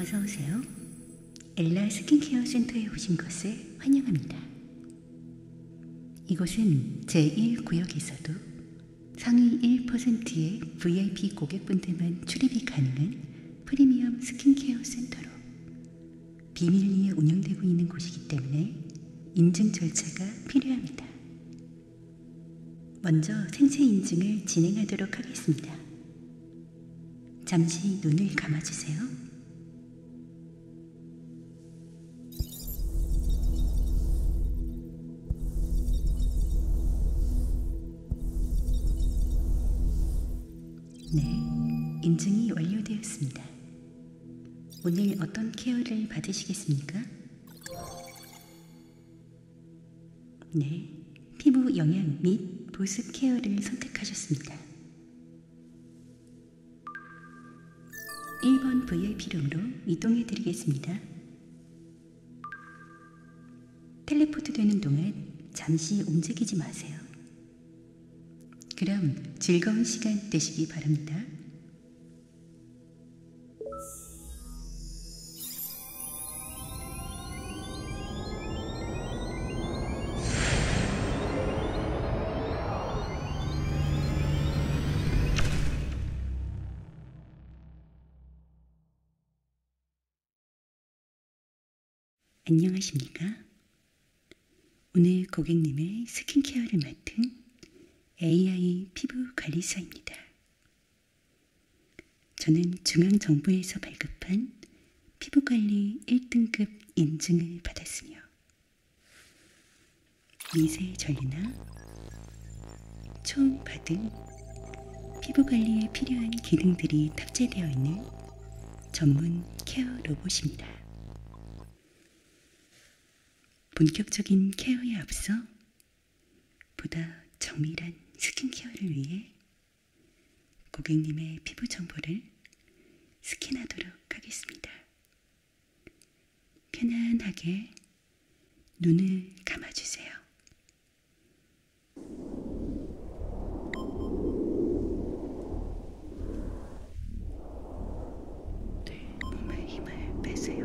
어서 오세요. 엘라 스킨케어 센터에 오신 것을 환영합니다. 이곳은 제1구역에서도 상위 1%의 VIP 고객분들만 출입이 가능한 프리미엄 스킨케어 센터로 비밀리에 운영되고 있는 곳이기 때문에 인증 절차가 필요합니다. 먼저 생체 인증을 진행하도록 하겠습니다. 잠시 눈을 감아주세요. 네, 인증이 완료되었습니다. 오늘 어떤 케어를 받으시겠습니까? 네, 피부 영양 및 보습 케어를 선택하셨습니다. 1번 VIP룸으로 이동해 드리겠습니다. 텔레포트 되는 동안 잠시 움직이지 마세요. 그럼 즐거운 시간 되시기 바랍니다. 안녕하십니까? 오늘 고객님의 스킨케어를 맡은 AI 피부 관리사입니다. 저는 중앙정부에서 발급한 피부관리 1등급 인증을 받았으며 미세 전리나 초음 바등 피부 관리에 필요한 기능들이 탑재되어 있는 전문 케어 로봇입니다. 본격적인 케어에 앞서 보다 정밀한 스킨케어를 위해 고객님의 피부 정보를 스킨하도록 하겠습니다. 편안하게 눈을 감아주세요. 네, 몸에 힘을 빼세요.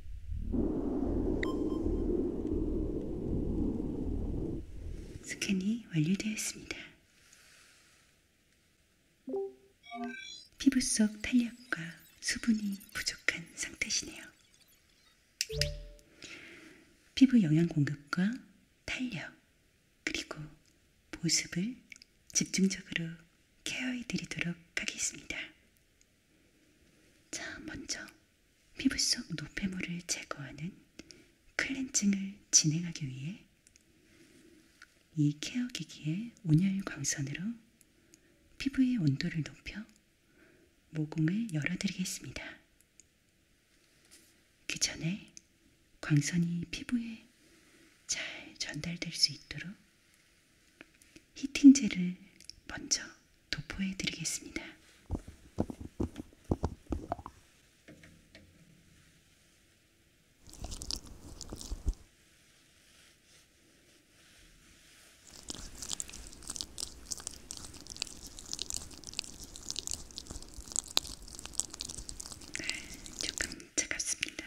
스캔이 완료되었습니다. 피부 속 탄력과 수분이 부족한 상태시네요. 피부 영양 공급과 탄력, 그리고 보습을 집중적으로 케어해 드리도록 하겠습니다. 자, 먼저 피부 속 노폐물을 제거하는 클렌징을 진행하기 위해 이 케어 기기의 온열 광선으로 피부의 온도를 높여 모공을 열어드리겠습니다. 그 전에 광선이 피부에 잘 전달될 수 있도록 히팅제를 먼저 도포해 드리겠습니다. 네, 조금 차갑습니다.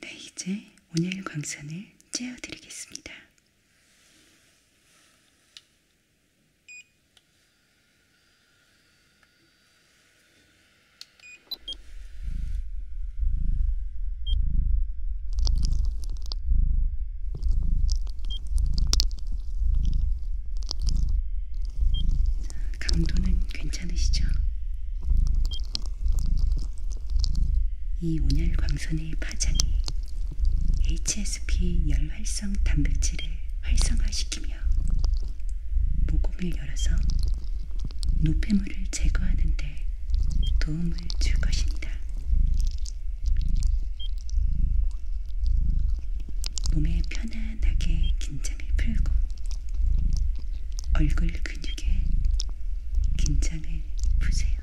네, 이제 오늘 광선을 쬐어드리겠습니다. 강도는 괜찮으시죠? 이 온열 광선의 파장이 HSP 열 활성 단백질을 활성화시키며 모공을 열어서 노폐물을 제거하는 데 도움을 줄 것입니다. 몸에 편안하게 긴장을 풀고 얼굴 근육에 긴장을 푸세요.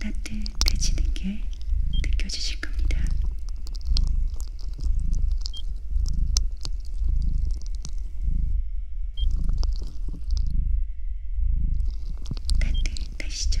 따뜻해지는 게 느껴지실 겁니다. 댓글 다시죠.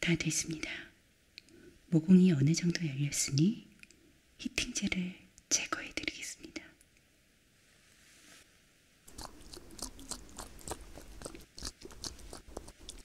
다 됐습니다. 모공이 어느 정도 열렸으니 히팅제를 제거해 드리겠습니다.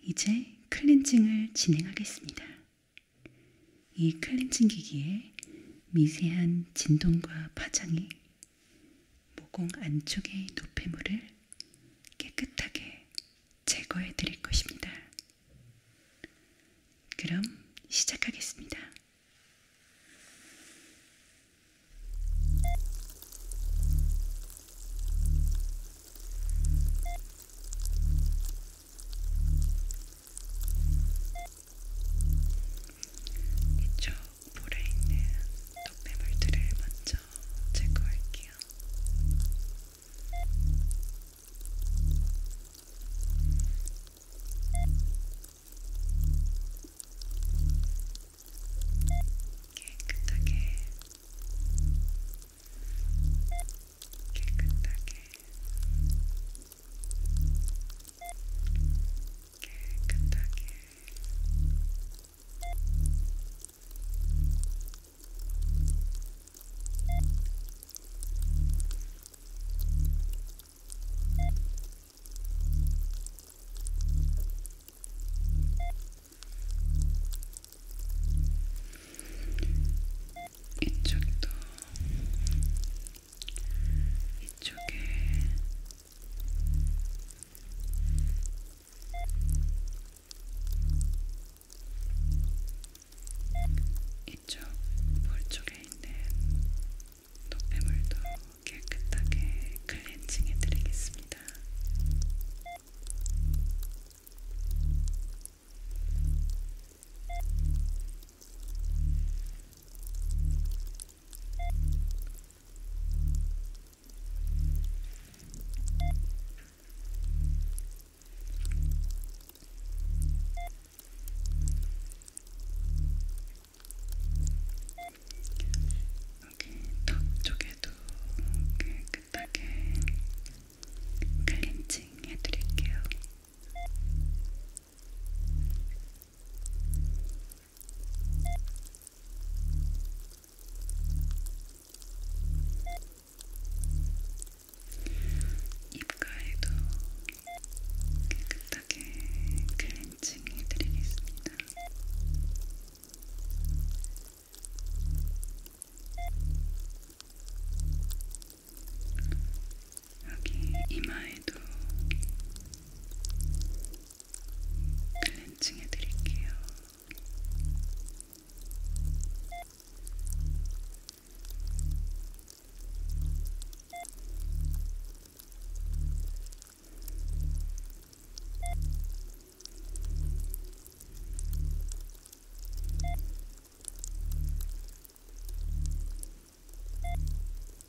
이제 클렌징을 진행하겠습니다. 이 클렌징 기기에 미세한 진동과 파장이 모공 안쪽의 노폐물을 깨끗하게 제거해 드릴 것입니다. 그럼 시작하겠습니다. 이쪽 볼에 있는 노폐물들을 먼저 제거할게요. 깨끗하게 깨끗하게 깨끗하게 이쪽도 이쪽에 이쪽 볼 쪽에 있는 노폐물도 깨끗하게 클렌징해 드리겠습니다. 여기 턱 쪽에도 깨끗하게 클렌징 해드릴게요. 입가에도 깨끗하게 클렌징 해드리겠습니다. 여기 이마에도 클렌징 해드릴게요. 네,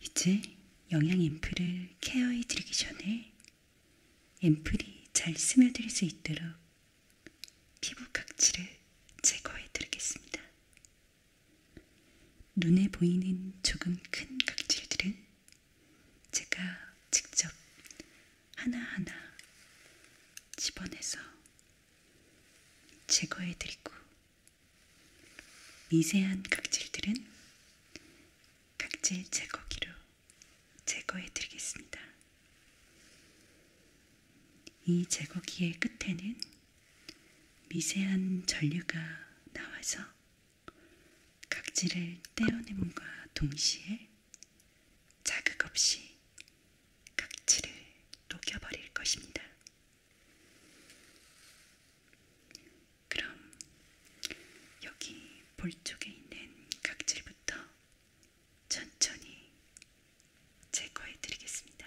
이제 영양 앰플을 케어해 드리기 전에 앰플이 잘 스며들 수 있도록 피부 각질을 제거해 드리겠습니다. 눈에 보이는 조금 큰 각질들은 제가 직접 하나하나 집어내서 제거해드리고 미세한 각질들은 각질 제거기로 제거해드리겠습니다. 이 제거기의 끝에는 미세한 전류가 나와서 각질을 떼어냄과 동시에 자극 없이 각질을 녹여버릴 것입니다. 그럼 여기 볼 쪽에 있는 각질부터 천천히 제거해 드리겠습니다.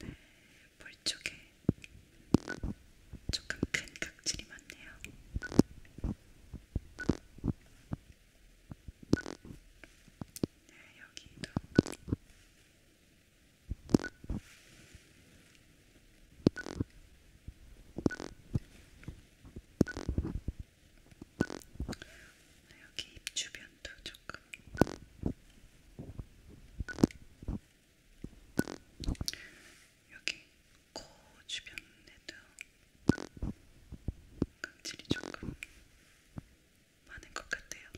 네, 볼 쪽에 조금 큰 각질이 많네요. 네, 여기도. 네, 여기 입 주변도 조금 여기 코 주변에도 각질이 조금 많은 것 같아요.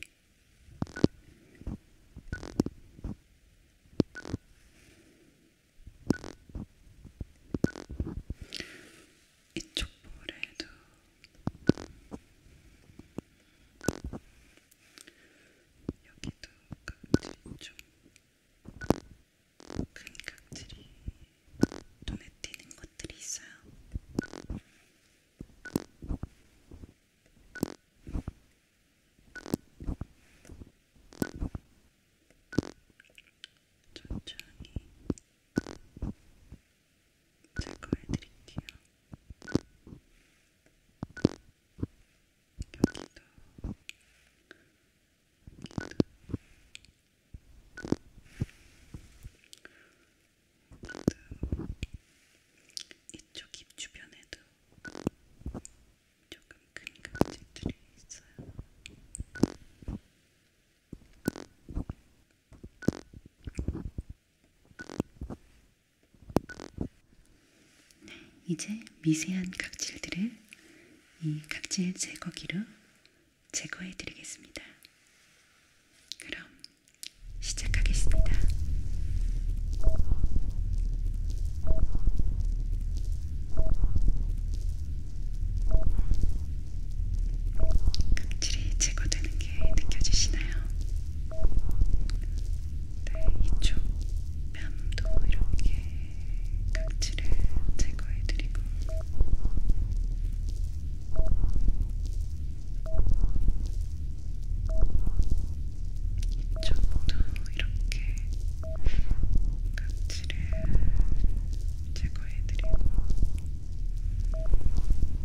이쪽 볼에도 여기도 각질이 좀큰 각질이 눈에 띄는 것들이 있어요. 천천히 제거해드릴게요. 여기도 여기도 여기도 이쪽 입 주변에도 조금 큰 각질들이 있어요. 이렇게 이제 미세한 각질들을 이 각질 제거기로 제거해 드리겠습니다. 그럼 시작하겠습니다. 각질이 제거되는 게 느껴지시나요? 네, 이쪽 뺨도 이렇게 각질을 제거해드리고 이쪽도 이렇게 각질을 제거해드리고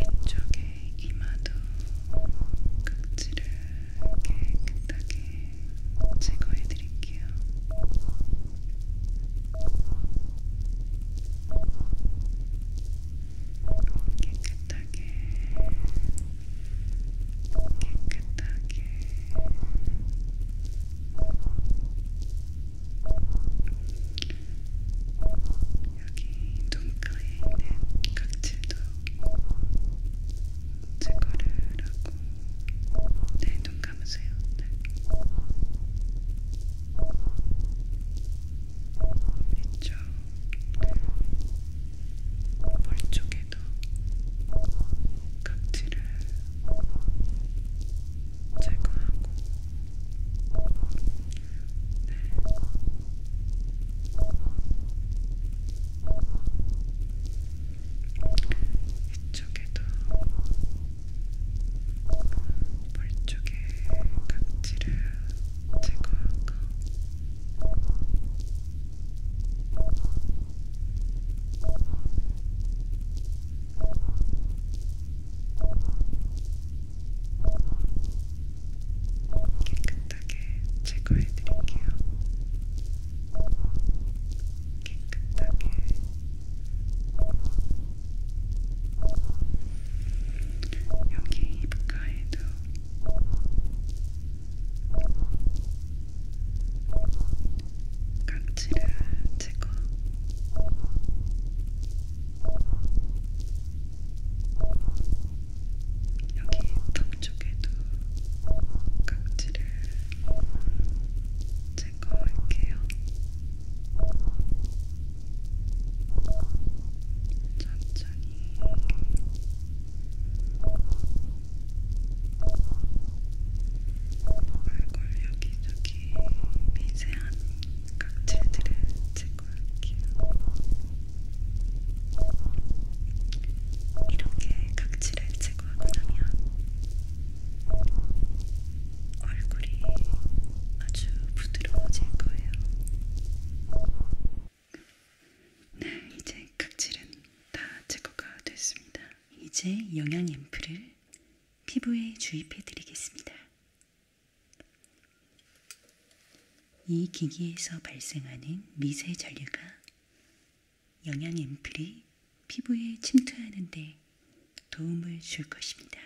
이쪽에 이마도 각질을 깨끗하게 제거해 드릴게요. 깨끗하게 깨끗하게 여기 눈가에 있는 각질도 제거를 하고 네눈 감으세요. 네. 이쪽 볼 쪽에도 각질을 제거하고 이쪽에도 볼 쪽에 각질을 제거하고 이쪽에도 깨끗하게 제거해드릴게요. 깨끗하게 여기 입가에도 각질을 제거. 네, 여기 턱 쪽에도 각질을 제거할게요. 천천히. 얼굴 여기저기 미세한 각질들을 제거해주세요. 볼게요. 이렇게 각질을 제거하고 나면 얼굴이 아주 부드러워질 거예요. 네, 이제 각질은 다 제거가 됐습니다. 이제 영양 앰플을 피부에 주입해 드리겠습니다. 이 기기에서 발생하는 미세 전류가 영양 앰플이 피부에 침투하는 데 도움을 줄 것입니다.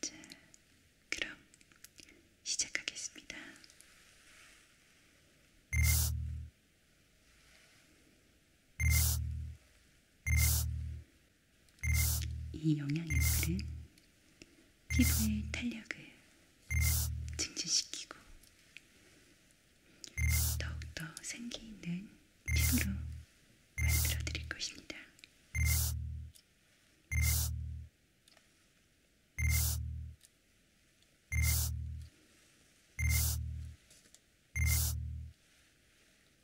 자, 그럼 시작하겠습니다. 이 영양액들은 피부의 탄력을 증진시키고 더욱더 생기 있는 피부로 만들어 드릴 것입니다.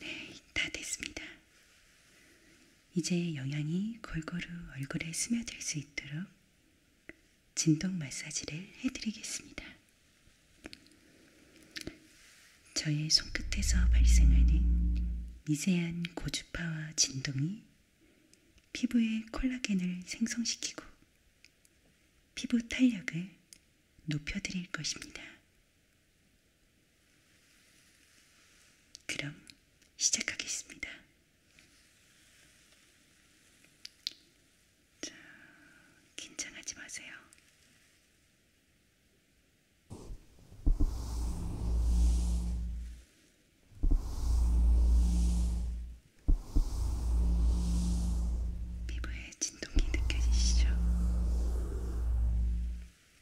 네, 다 됐습니다. 이제 영양이 골고루 얼굴에 스며들 수 있도록 진동 마사지를 해드리겠습니다. 저의 손끝에서 발생하는 미세한 고주파와 진동이 피부의 콜라겐을 생성시키고 피부 탄력을 높여드릴 것입니다. 그럼 시작하겠습니다. 자, 긴장하지 마세요. 피부에 진동이 느껴지시죠?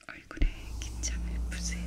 얼굴에 긴장을 푸세요.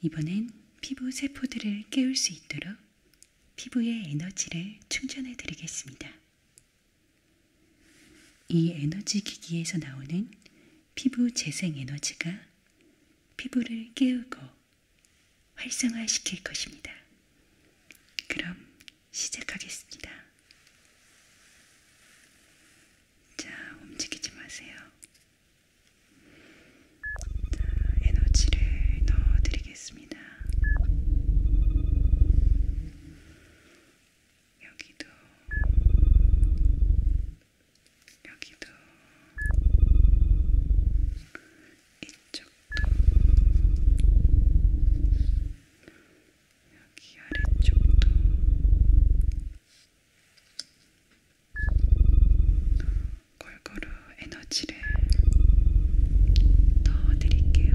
이번엔 피부 세포들을 깨울 수 있도록 피부의 에너지를 충전해 드리겠습니다. 이 에너지 기기에서 나오는 피부 재생 에너지가 피부를 깨우고 활성화시킬 것입니다. 그럼 시작하겠습니다. 자, 움직이지 마세요. 자, 에너지를 넣어드리겠습니다. 여기도 여기도 이쪽도 여기 아래쪽도 골고루 에너지를 넣어드릴게요.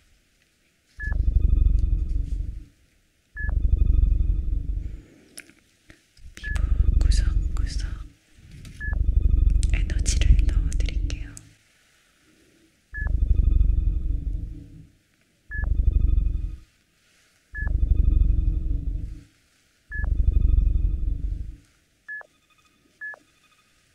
피부 구석구석 에너지를 넣어드릴게요.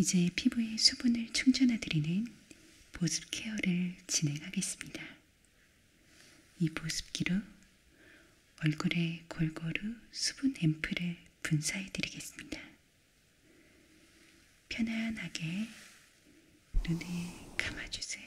이제 피부에 수분을 충전해드리는 보습 케어를 진행하겠습니다. 이 보습기로 얼굴에 골고루 수분 앰플을 분사해드리겠습니다. 편안하게 눈을 감아주세요.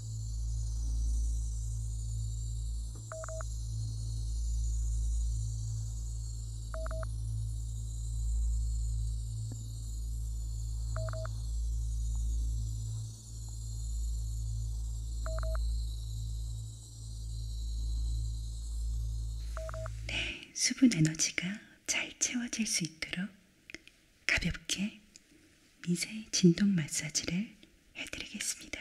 네, 수분 에너지가 잘 채워질 수 있도록 가볍게 미세 진동 마사지를 해드리겠습니다.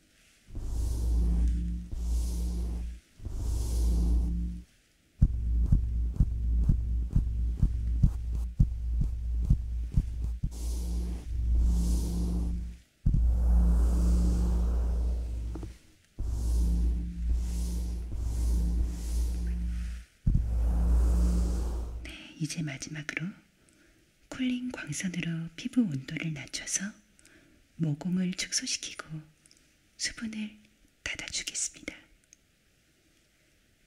네, 이제 마지막으로 쿨링 광선으로 피부 온도를 낮춰서 모공을 축소시키고 수분을 닫아주겠습니다.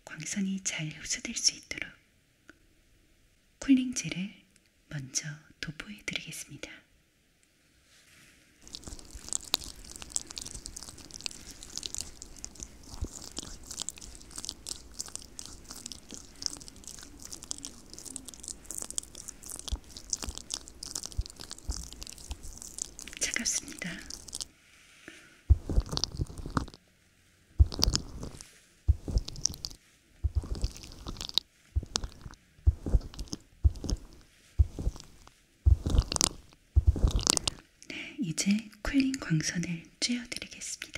광선이 잘 흡수될 수 있도록 쿨링젤을 먼저 도포해 드리겠습니다. 차갑습니다. 네, 이제 쿨링 광선을 쬐어드리겠습니다.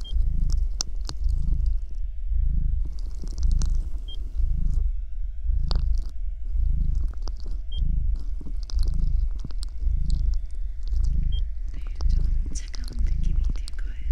네, 좀 차가운 느낌이 들 거예요.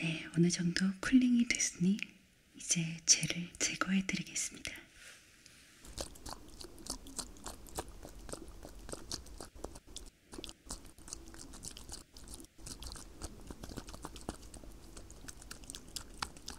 네, 어느 정도 쿨링이 됐으니 이제 젤을 제거해 드리겠습니다.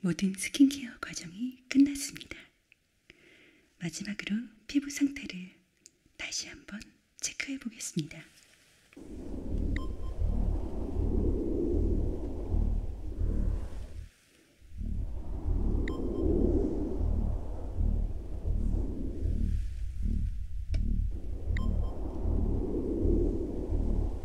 모든 스킨케어 과정이 끝났습니다. 마지막으로 피부 상태를 다시 한번 체크해 보겠습니다.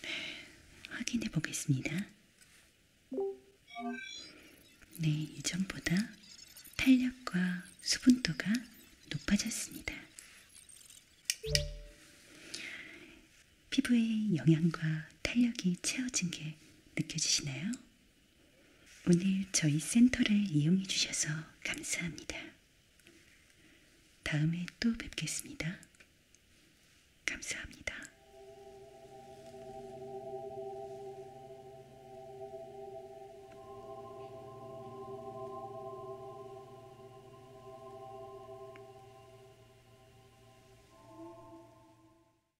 네, 확인해 보겠습니다. 네, 이전보다 탄력과 수분도가 높아졌습니다. 피부에 영양과 탄력이 채워진 게 느껴지시나요? 오늘 저희 센터를 이용해 주셔서 감사합니다. 다음에 또 뵙겠습니다. 감사합니다.